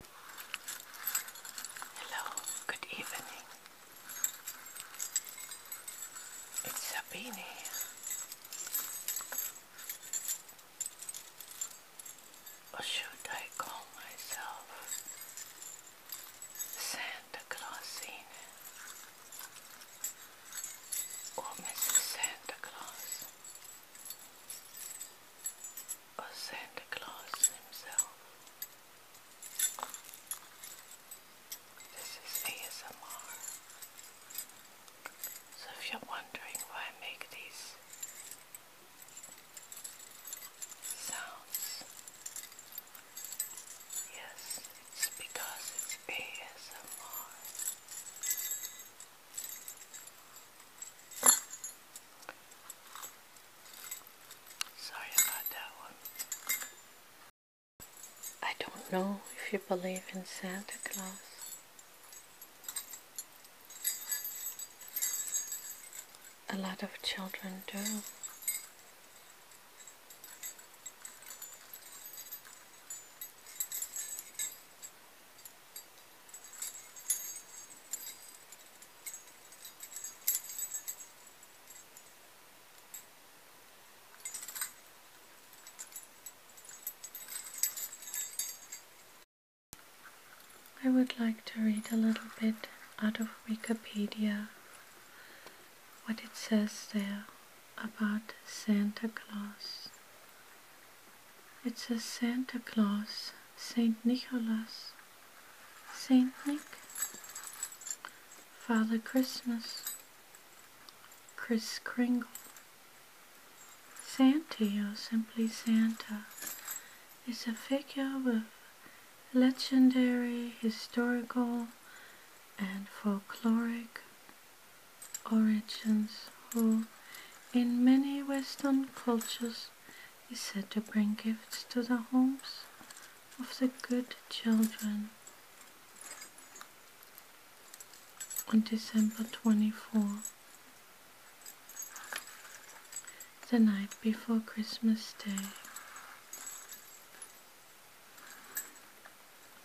Hello, good evening. It's Sabine here. Or should I call myself Santa Clausine? Or Mrs. Santa Claus? or Santa Claus himself. This is ASMR. So if you're wondering why I make these sounds, yes, it's because it's ASMR. Sorry about that one. I don't know if you believe in Santa Claus. A lot of children do. I would like to read a little bit out of Wikipedia what it says there about Santa Claus. It says Santa Claus, Saint Nicholas, Saint Nick, Father Christmas, Kris Kringle, Santy or simply Santa is a figure with legendary, historical, and folkloric origins who in many Western cultures, is said to bring gifts to the homes of the good children. On December 24, the night before Christmas Day,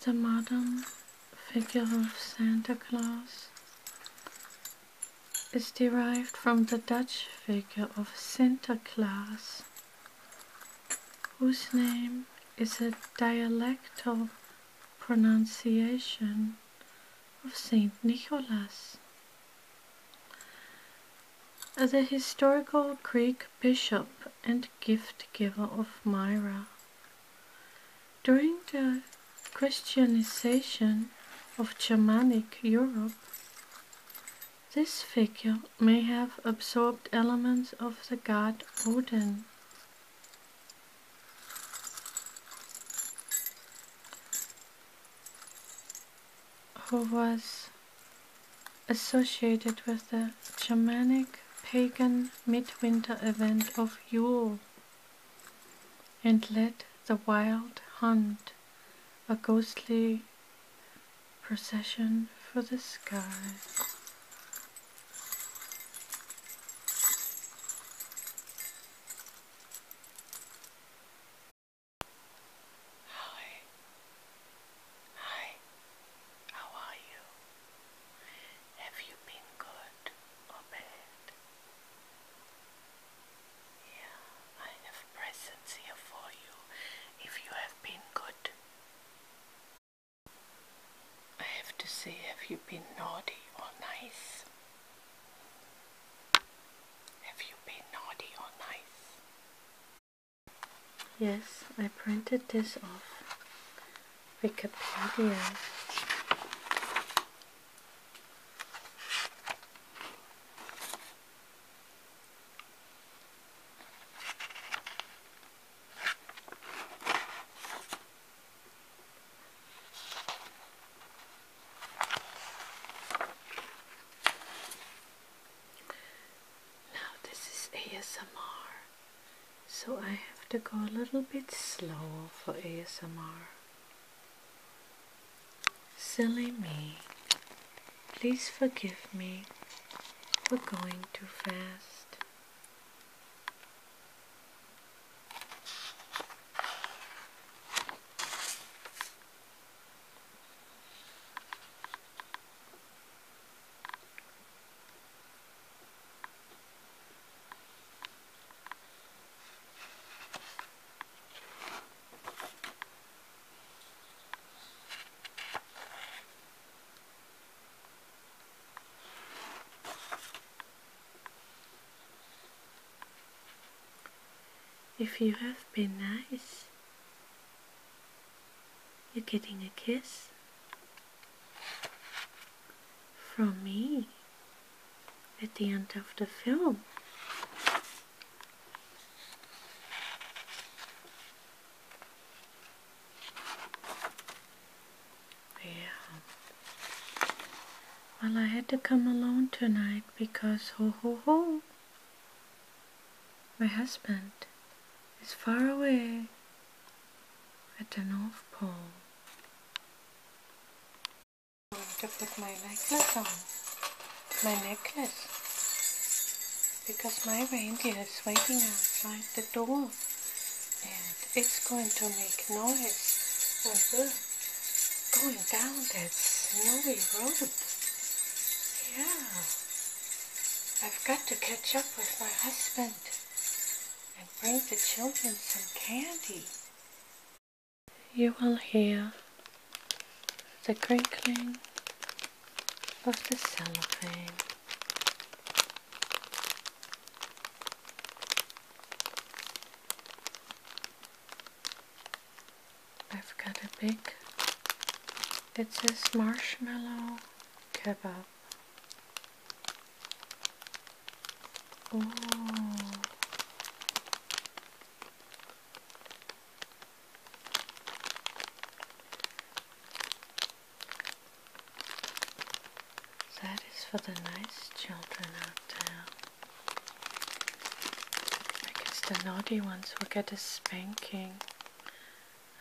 the modern figure of Santa Claus is derived from the Dutch figure of Sinterklaas, whose name is a dialectal pronunciation of Saint Nicholas. The historical Greek bishop and gift giver of Myra during the Christianization of Germanic Europe, this figure may have absorbed elements of the god Odin. who was associated with the Germanic pagan midwinter event of Yule and led the wild hunt, a ghostly procession for the sky. Hi. Hi. How are you? Have you been good or bad? Yeah, I have presents here for you if you have been good. I have to say, have you been naughty or nice? Have you been naughty or nice? Yes, I printed this off. Wikipedia. Now, this is ASMR so I have to go a little bit slower for ASMR. Silly me, please forgive me for going too fast. If you have been nice, you're getting a kiss from me at the end of the film. Yeah. Well, I had to come alone tonight because ho ho ho, my husband is far away at the North Pole. I'm going to put my necklace on. My necklace. Because my reindeer is waiting outside the door. And it's going to make noise when we're going down that snowy road. Yeah. I've got to catch up with my husband and bring the children some candy. You will hear the crinkling of the cellophane. I've got a big, It's says marshmallow kebab. That is for the nice children out there. I guess the naughty ones will get a spanking.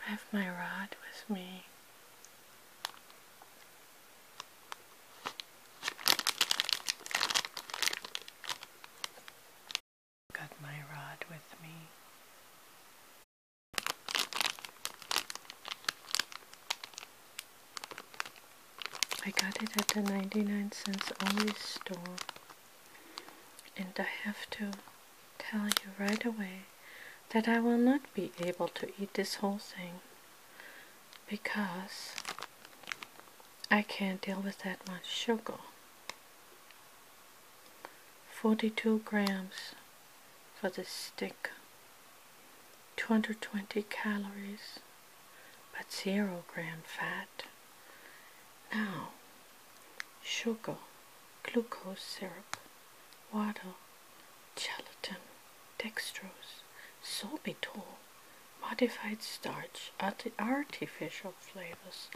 I have my rod with me. Got my rod with me. I got it at the 99 cents only store and I have to tell you right away that I will not be able to eat this whole thing because I can't deal with that much sugar. 42 grams for the stick, 220 calories, but zero gram fat. Now, sugar, glucose syrup, water, gelatin, dextrose, sorbitol, modified starch, artificial flavors.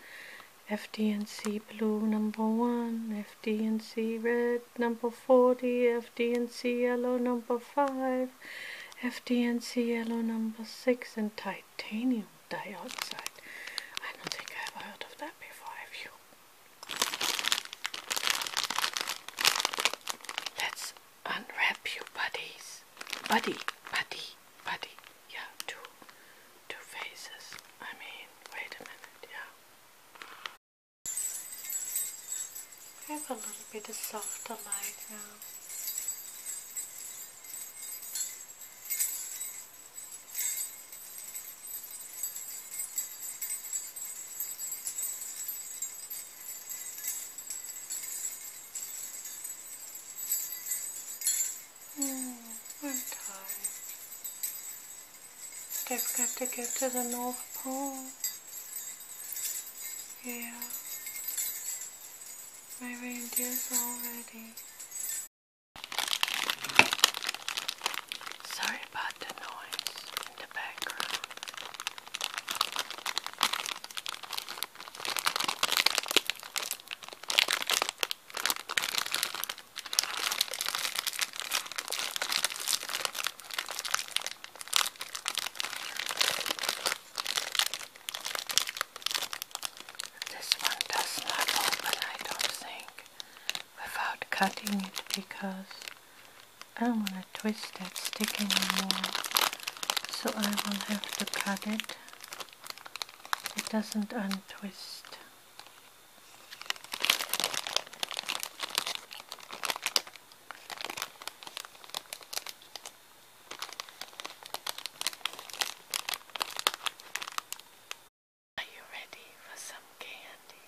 FDNC blue number one, FDNC red number 40, FDNC yellow number five, FDNC yellow number six, and titanium dioxide. I don't think I've heard of that before, have you? Let's unwrap your buddies. Buddy, buddy, buddy. Yeah, two, two faces. I mean, wait a minute, yeah. I have a little bit of softer light now. Mm, I'm tired. They've got to get to the North Pole. Yeah. My reindeer's already Sorry about the noise in the background. This one does not open, I don't think without cutting it because I don't want to twist that stick anymore. So I will have to cut it. It doesn't untwist. Are you ready for some candy?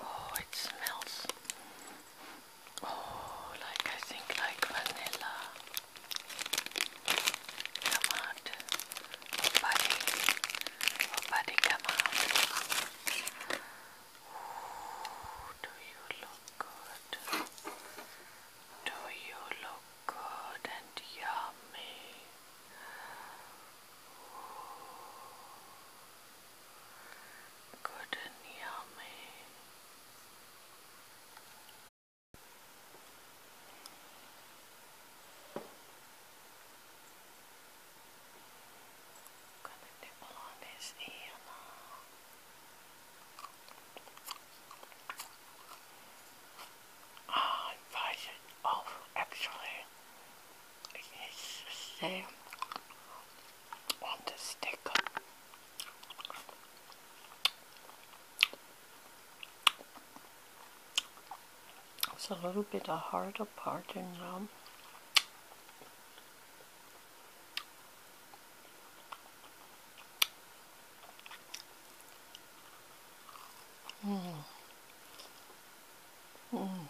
Oh, it smells. Oh, like I think like vanilla. Come out. buddy. buddy, come out. Ooh, do you look good? Do you look good and yummy? good and yummy. Connecting on I advise it off actually. It's the same on the sticker. It's a little bit a harder part in um, Mm. Mm.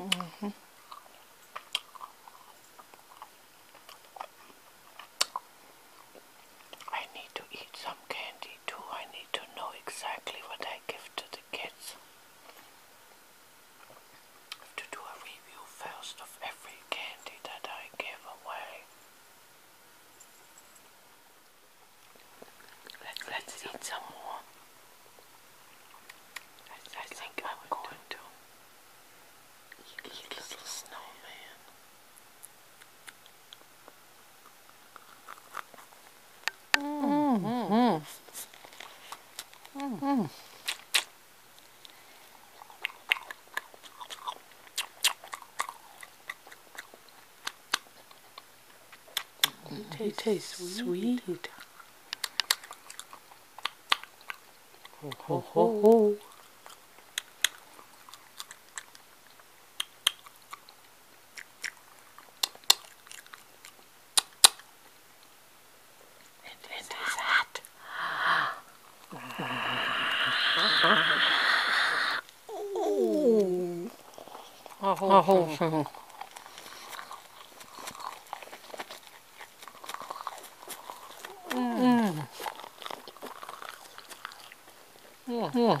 Mm hmm I need to eat some candy too. I need to know exactly what I give to the kids. to do a you first of every candy that I give away. Let's, eat some more. I, think I'm going to eat little snowman. Mm. Mm. Mm it tastes sweet. ho, ho, ho. It, it is hot. Ooh. A whole, a whole thing. thing. Mm. Yeah. yeah.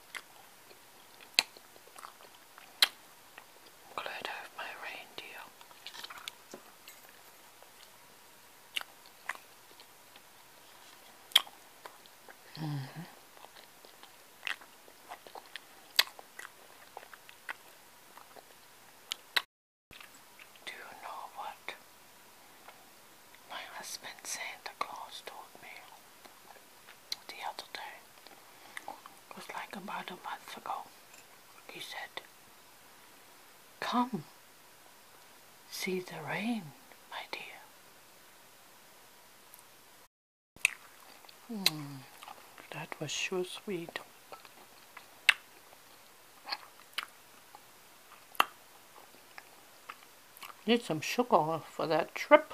Glad I my reindeer. -hmm. Do you know what my husband Santa Claus told me? the other day. It was like about a month ago. He said, Come, see the rain, my dear. Hmm, that was sure sweet. Need some sugar for that trip.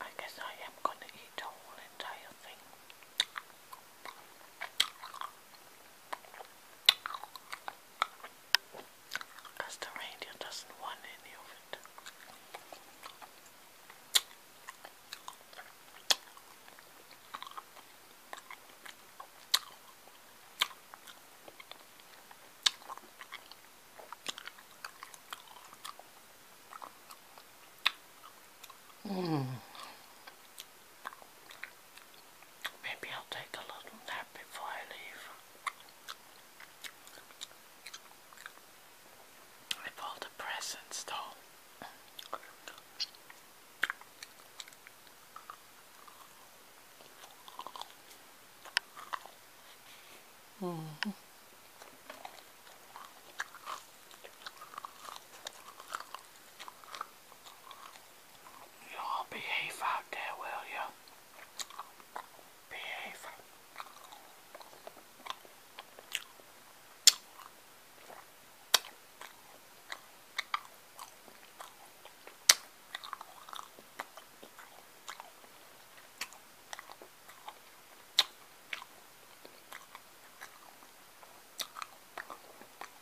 I guess I am going to eat the whole entire thing. the reindeer doesn't want any of it. Mm. Maybe I'll take a little nap before I leave. With all the presents though. Mm Y'all behave out there, will you? Behave.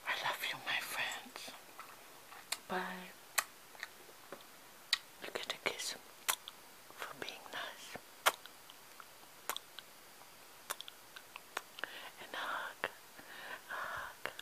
I love you, my friends. Bye. You get a kiss for being nice. And a hug. hug.